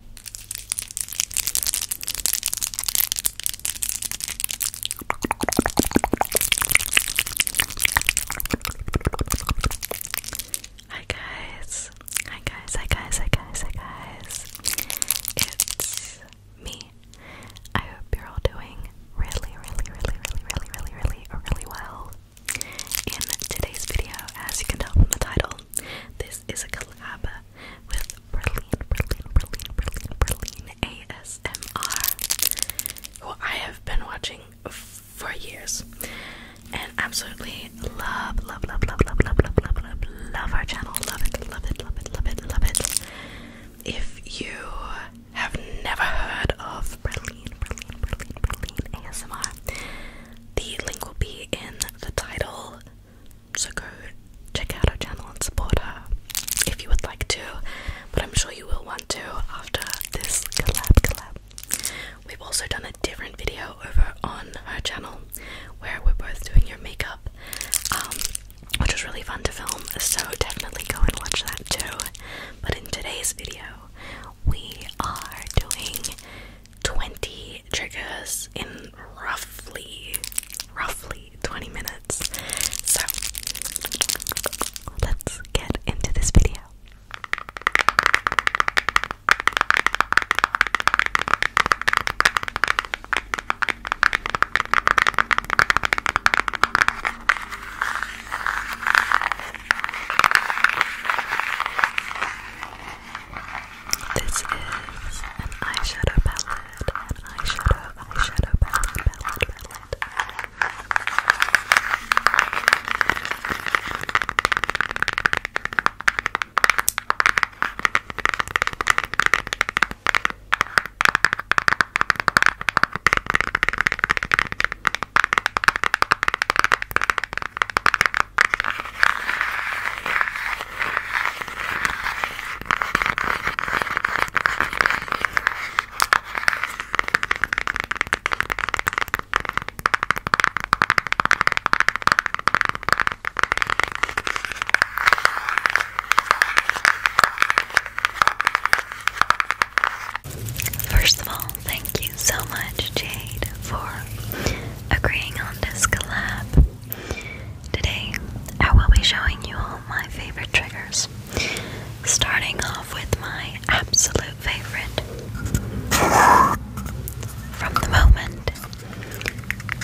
Hi guys. Hi guys. Hi guys. Hi guys. Hi guys. It's me. I hope you're all doing really, really, really, really, really, really, really, really well. In today's video, as you can tell from the title, this is a collab with Berlin, Berlin, Berlin, Berlin, Berlin ASMR, who I have been watching for years and absolutely love, love, love, love, love, love, love, love, love, love our channel. Love it, love it, love it, love it, love it. If you have never heard of Berlin, Berlin, Berlin, Berlin ASMR, the link will be in the title so go check out her channel and support her if you would like to. But I'm sure you will want to after this collab collab. We've also done a different video over on her channel where we're both doing your makeup, um, which was really fun to film. So definitely go and watch that too. But in today's video, we are doing 20 triggers in roughly roughly 20 minutes. So let's get into this video. This is an eyeshadow palette, an eyeshadow, eyeshadow palette, palette. First of all, thank you so much, Jade, for agreeing on this collab. Today, I will be showing you all my favorite triggers, starting off with my absolute favorite from the moment,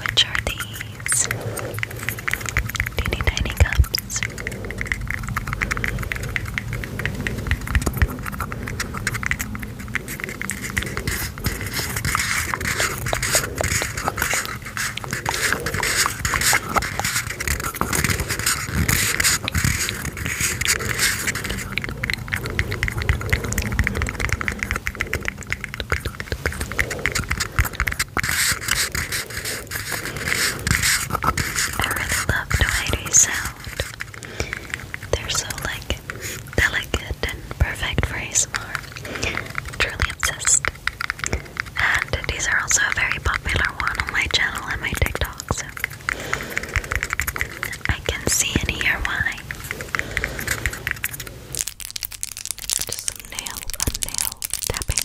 which are these teeny tiny cups. I really love the sound. They're so like delicate and perfect for ASMR. Truly obsessed. And these are also a very popular one on my channel and my TikTok, so I can see and hear why. Just nail on nail tapping.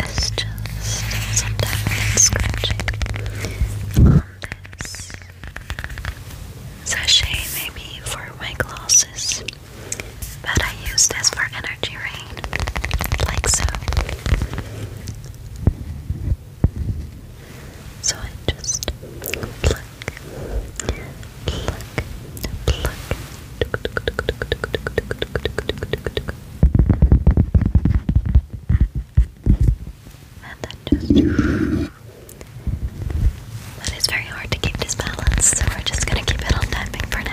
It's just sometimes scratching on this maybe for my glasses, but I use this for energy rain, like so. So I just pluck, pluck, pluck, and then just. But it's very hard to keep this balance, so we're just gonna keep it on tapping for now.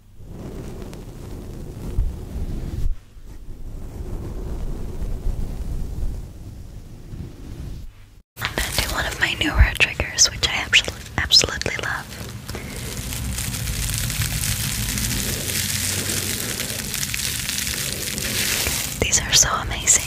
I'm going to do one of my newer triggers, which I absolutely, love. These are so amazing.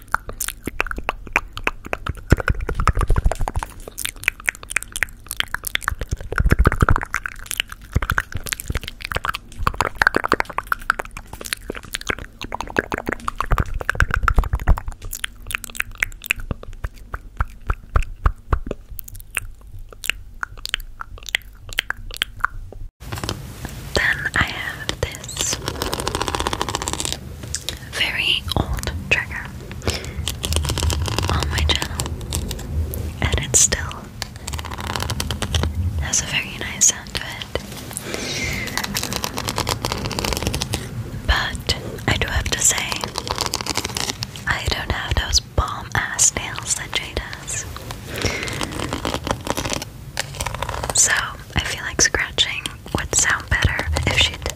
Then I have this very old trigger on my channel, and it still has a very nice sound to it. But I do have to say, I don't have those bomb ass nails that Jade has. So I feel like scratching would sound better if she'd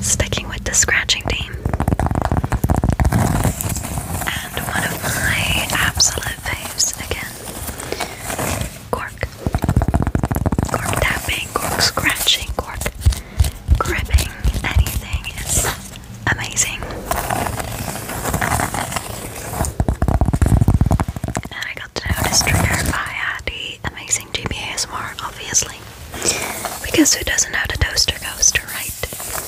Sticking with the scratching theme, and one of my absolute faves again Cork. Cork tapping, cork scratching, cork gripping, anything is amazing. And I got to know this trigger by the amazing GBASMR, obviously. Because who doesn't know the toaster coaster, right?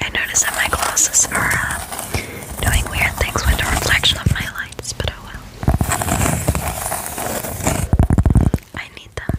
I notice that my glasses are um, doing weird things with the reflection of my lights, but oh well. I need them.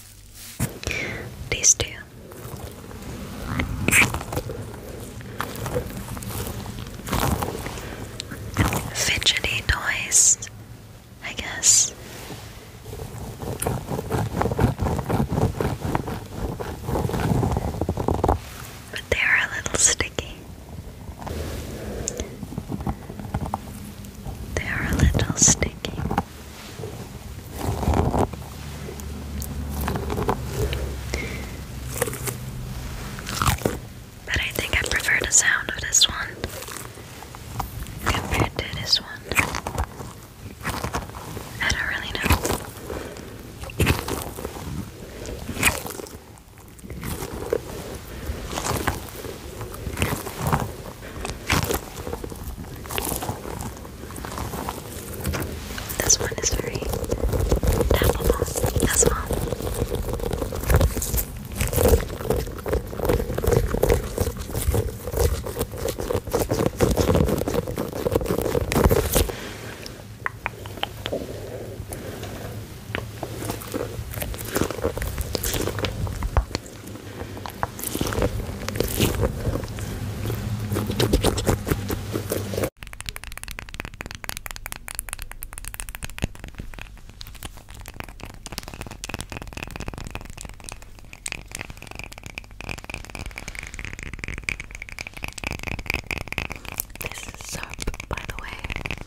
These two. Fidgety toys, I guess. But they are a little sticky. They are a little sticky. But I think I prefer the sound of this one compared to this one. I don't really know. This one is very tappable as well. This is soap, by the way.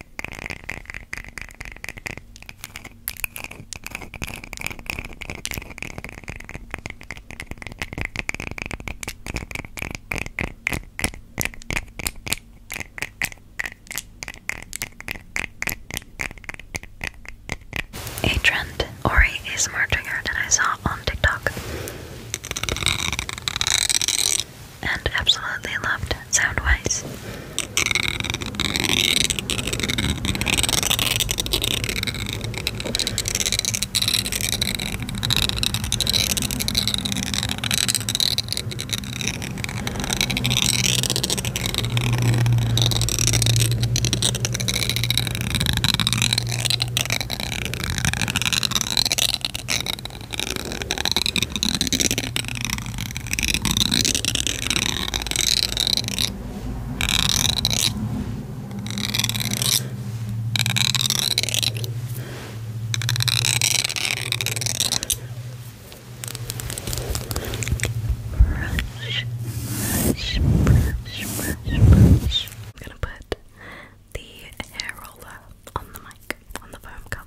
A trend or a ASMR trigger that I saw on TikTok and absolutely loved Soundwise brush, brush, brush, brush. I'm gonna put the hair roller on the mic, on the foam cover.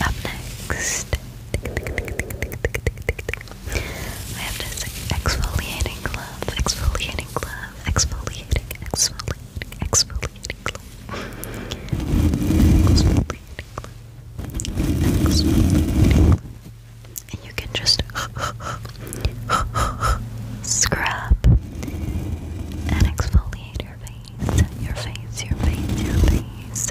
Up next, I have this exfoliating glove, exfoliating glove, exfoliating, exfoliating, exfoliating glove. And you can just scrub and exfoliate your face, your face, your face, your face.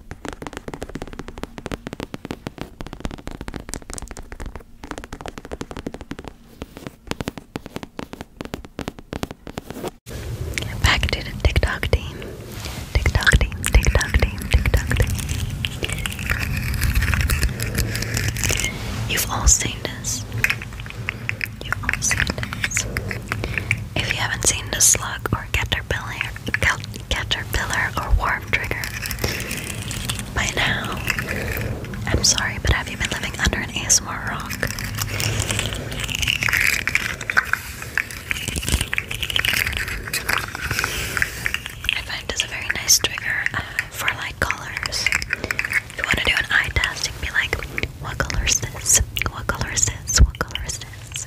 Back to the TikTok team. TikTok team, TikTok team, TikTok team. You've all seen this. You've all seen this. If you haven't seen the slug or or caterpillar, caterpillar or worm trigger. By now, I'm sorry, but have you been living under an ASMR rock? I find this a very nice trigger uh, for like colors. you want to do an eye test, you can be like, what color is this? What color is this? What color is this?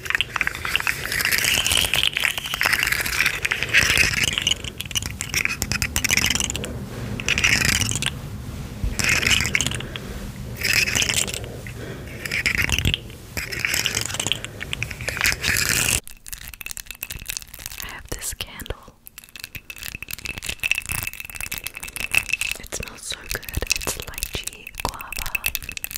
I have this candle. It smells so good. It's lychee guava.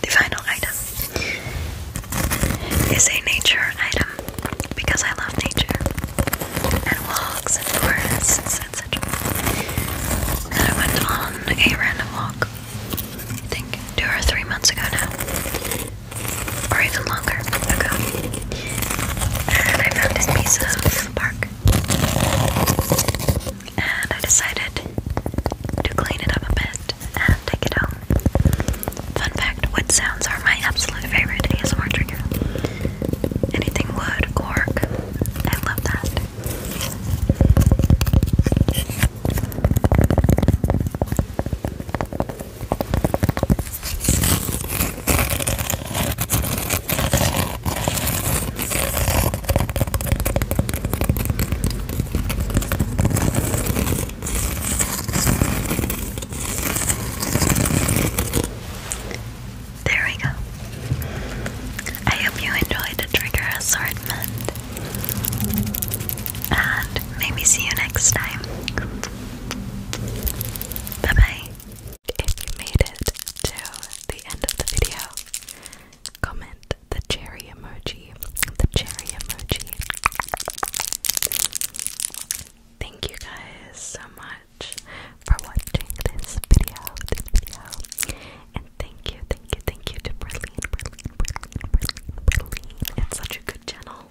The final item is a nature item because I love nature and walks and forests and I went on a random walk, I think two or three months ago now, or even longer ago. And I found this piece of bark. And I decided to clean it up a bit and take it home. Fun fact What sounds are my absolute favorite ASMR trigger. Anything wood, cork. I love that. There we go. I hope you enjoyed the trigger assortment. And maybe see you next time. Bye bye. If you made it to the end of the video, comment the cherry emoji. The cherry emoji. Thank you guys so much for watching this video, this video. And thank you, thank you, thank you to Berlin, Berlin, Berlin, Berlin, Berlin. It's such a good channel.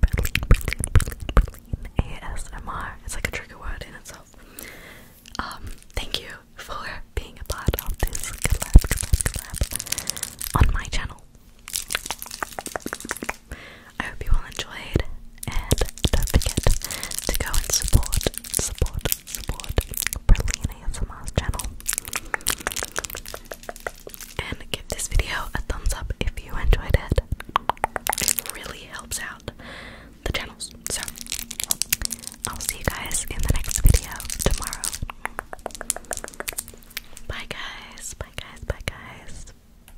Berlin, Berlin, Berlin, Berlin. ASMR. It's like a trigger word in itself. Um, thank you for being a part of this collab, collab, collab on my channel. I hope you all enjoyed, and don't forget to go and support, support, support Brilliant ASMR's channel. And give this video a thumbs up if you enjoyed It really helps out the channels. So, I'll see you guys in the next video tomorrow. Bye, guys. Bye, guys. Bye, guys.